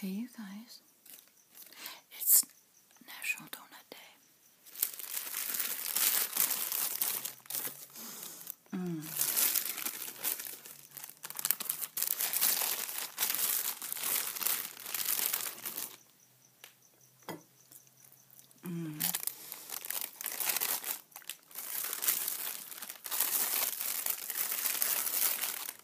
Hey, you guys, it's National Donut Day. Mm. Mm.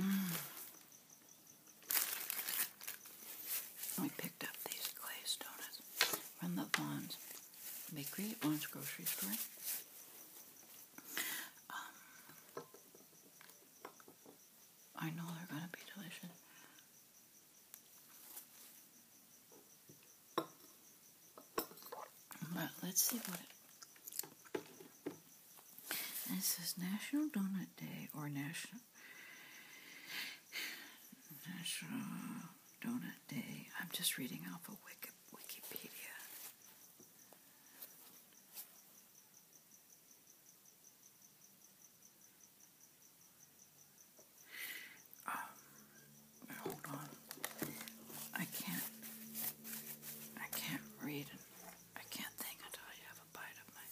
Mm. We picked up these glazed donuts from the Vaughn's Bakery at Grocery Store. Um, I know they're going to be delicious. But let's see what it. says National Donut Day or National National Donut Day. I'm just reading off of Wikipedia. Um, hold on. I can't. I can't read. I can't think until I have a bite of my.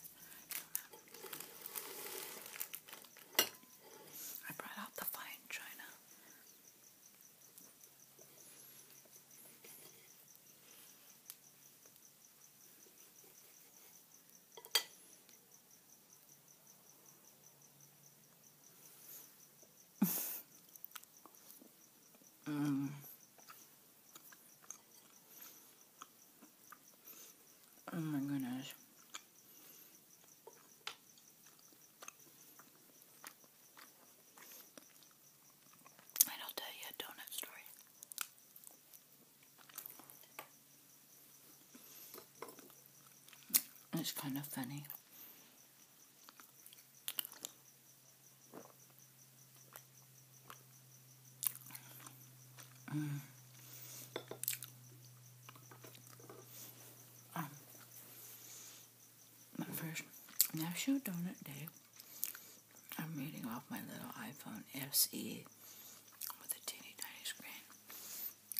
I brought out the fine china. Oh my goodness. And I'll tell you a donut story. It's kind of funny. Mm. Um, my first National Donut Day, I'm reading off my little iPhone SE with a teeny tiny screen.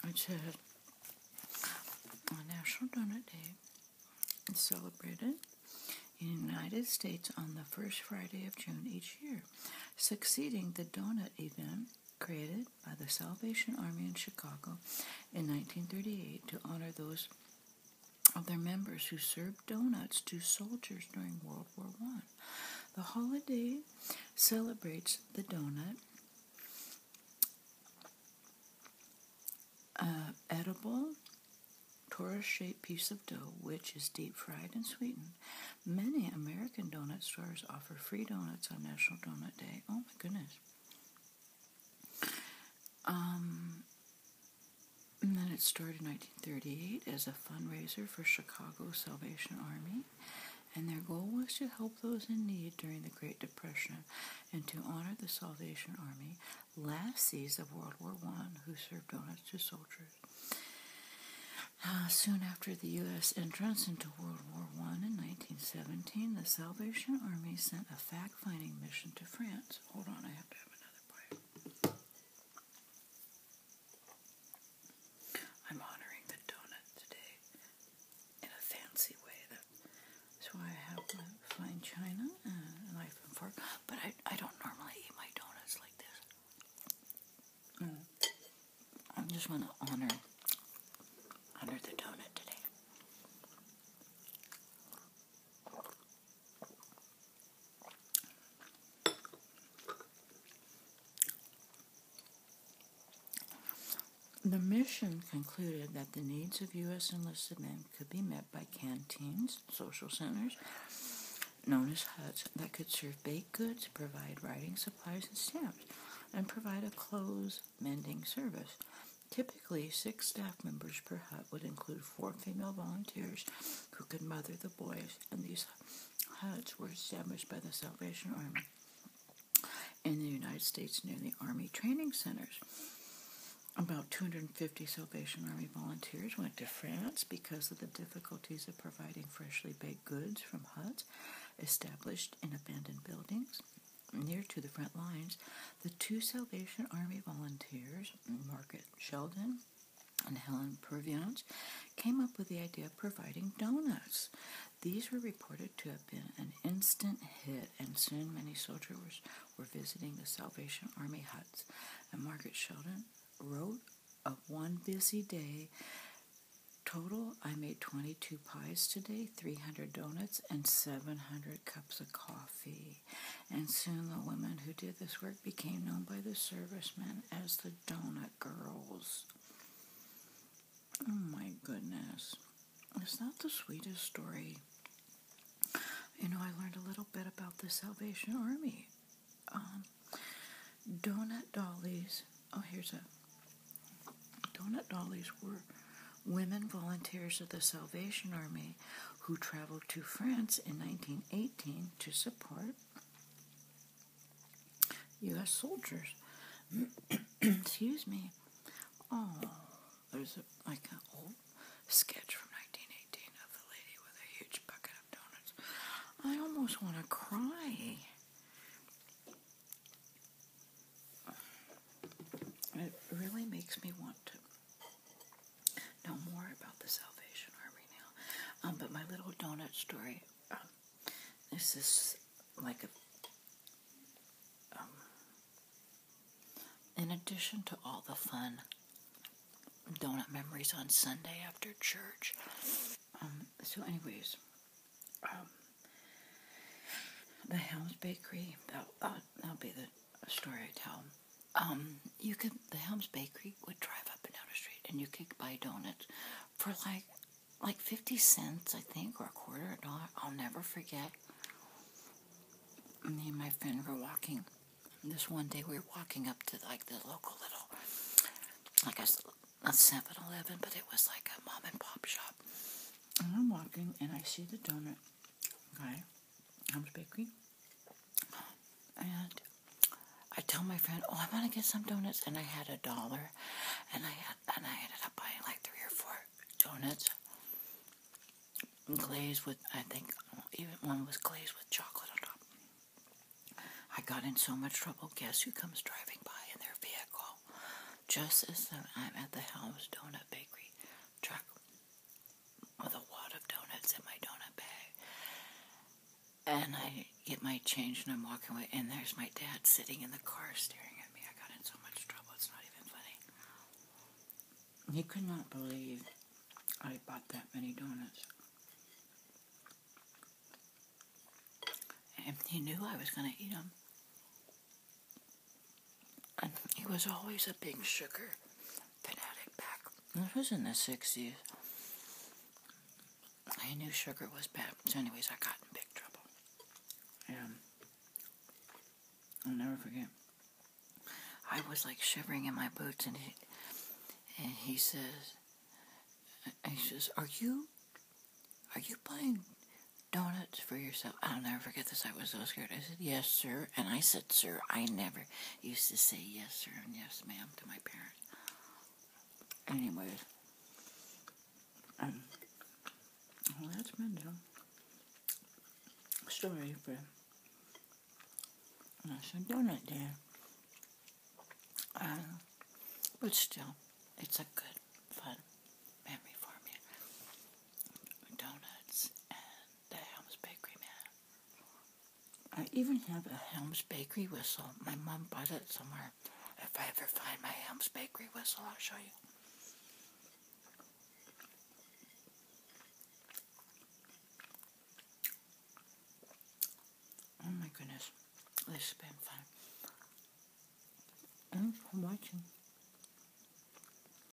It said on National Donut Day is celebrated in the United States on the first Friday of June each year, succeeding the donut event created by the Salvation Army in Chicago in 1938 to honor those of their members who served donuts to soldiers during World War I. The holiday celebrates the donut, edible torus-shaped piece of dough, which is deep fried and sweetened. Many American donut stores offer free donuts on National Donut Day. Oh my goodness. Um, and then it started in 1938 as a fundraiser for Chicago Salvation Army and their goal was to help those in need during the Great Depression and to honor the Salvation Army, last lassies of World War I who served on donuts to soldiers. Uh, soon after the U.S. entrance into World War I in 1917, the Salvation Army sent a fact finding mission to France. Hold on, I have to have another part. I'm honoring the donut today in a fancy way. That's why I have my fine china and a knife and fork. But I, I don't normally eat my donuts like this. I'm mm. just going to honor honor the donut today. The mission concluded that the needs of U.S. enlisted men could be met by canteens, social centers, known as huts, that could serve baked goods, provide writing supplies and stamps, and provide a clothes mending service. Typically, six staff members per hut would include four female volunteers who could mother the boys and these huts were established by the Salvation Army in the United States near the Army training centers. About 250 Salvation Army volunteers went to France because of the difficulties of providing freshly baked goods from huts established in abandoned buildings. Near to the front lines, the two Salvation Army volunteers, Margaret Sheldon and Helen Perviange came up with the idea of providing donuts. These were reported to have been an instant hit, and soon many soldiers were visiting the Salvation Army huts. And Margaret Sheldon wrote of one busy day total I made 22 pies today, 300 donuts, and 700 cups of coffee. And soon the women who did this work became known by the servicemen as the Donut Girls. Oh my goodness. Is that the sweetest story? You know, I learned a little bit about the Salvation Army. Um, donut dollies. Oh, here's a. Donut dollies were women volunteers of the Salvation Army who traveled to France in 1918 to support U.S. soldiers. Excuse me. Oh, there's a, like an old sketch from 1918 of the lady with a huge bucket of donuts. I almost want to cry. It really makes me want to know more about the Salvation Army now. Um, but my little donut story. Um, this is like a. Um, in addition to all the fun donut memories on Sunday after church. so, anyways, the Helms Bakery, uh, that'll be the story I tell um, you could the Helms Bakery would drive up and down the street, and you could buy donuts for like like fifty cents, I think, or a quarter a dollar. I'll never forget. Me and my friend were walking. This one day we were walking up to like the local little, like a, a 7-Eleven, but it was like a mom and pop shop. And I'm walking, and I see the donut Okay? Hams Bakery. And I tell my friend, "Oh, I want to get some donuts," and I had a dollar, and I had, and I ended up buying like three or four donuts, glazed with I think even one was glazed with chocolate on top. I got in so much trouble. Guess who comes driving by in their vehicle? Just as I'm at the Helms Donut Bakery truck with a wad of donuts in my donut bag. And I get my change and I'm walking away, and there's my dad sitting in the car staring at me. I got in so much trouble, it's not even funny. He could not believe I bought that many donuts. And he knew I was going to eat them. he was always a big sugar fanatic back. This was in the 60s. I knew sugar was bad. So, anyways, I got in big trouble. And I'll never forget. I was like shivering in my boots, and he, and he says, and he says, "Are you, are you buying donuts for yourself?" I'll never forget this. I was so scared. I said, "Yes, sir," and I said, "Sir, I never." used to say yes, sir, and yes, ma'am to my parents. Anyways, um, that's my story for National Donut Day. Uh, but still, it's a good, fun memory for me donuts and the Helms Bakery man. I even have a Helms Bakery whistle. My mom bought it somewhere. If I ever find my Helms Bakery whistle, I'll show you. Oh my goodness, this has been fun. Thanks for watching.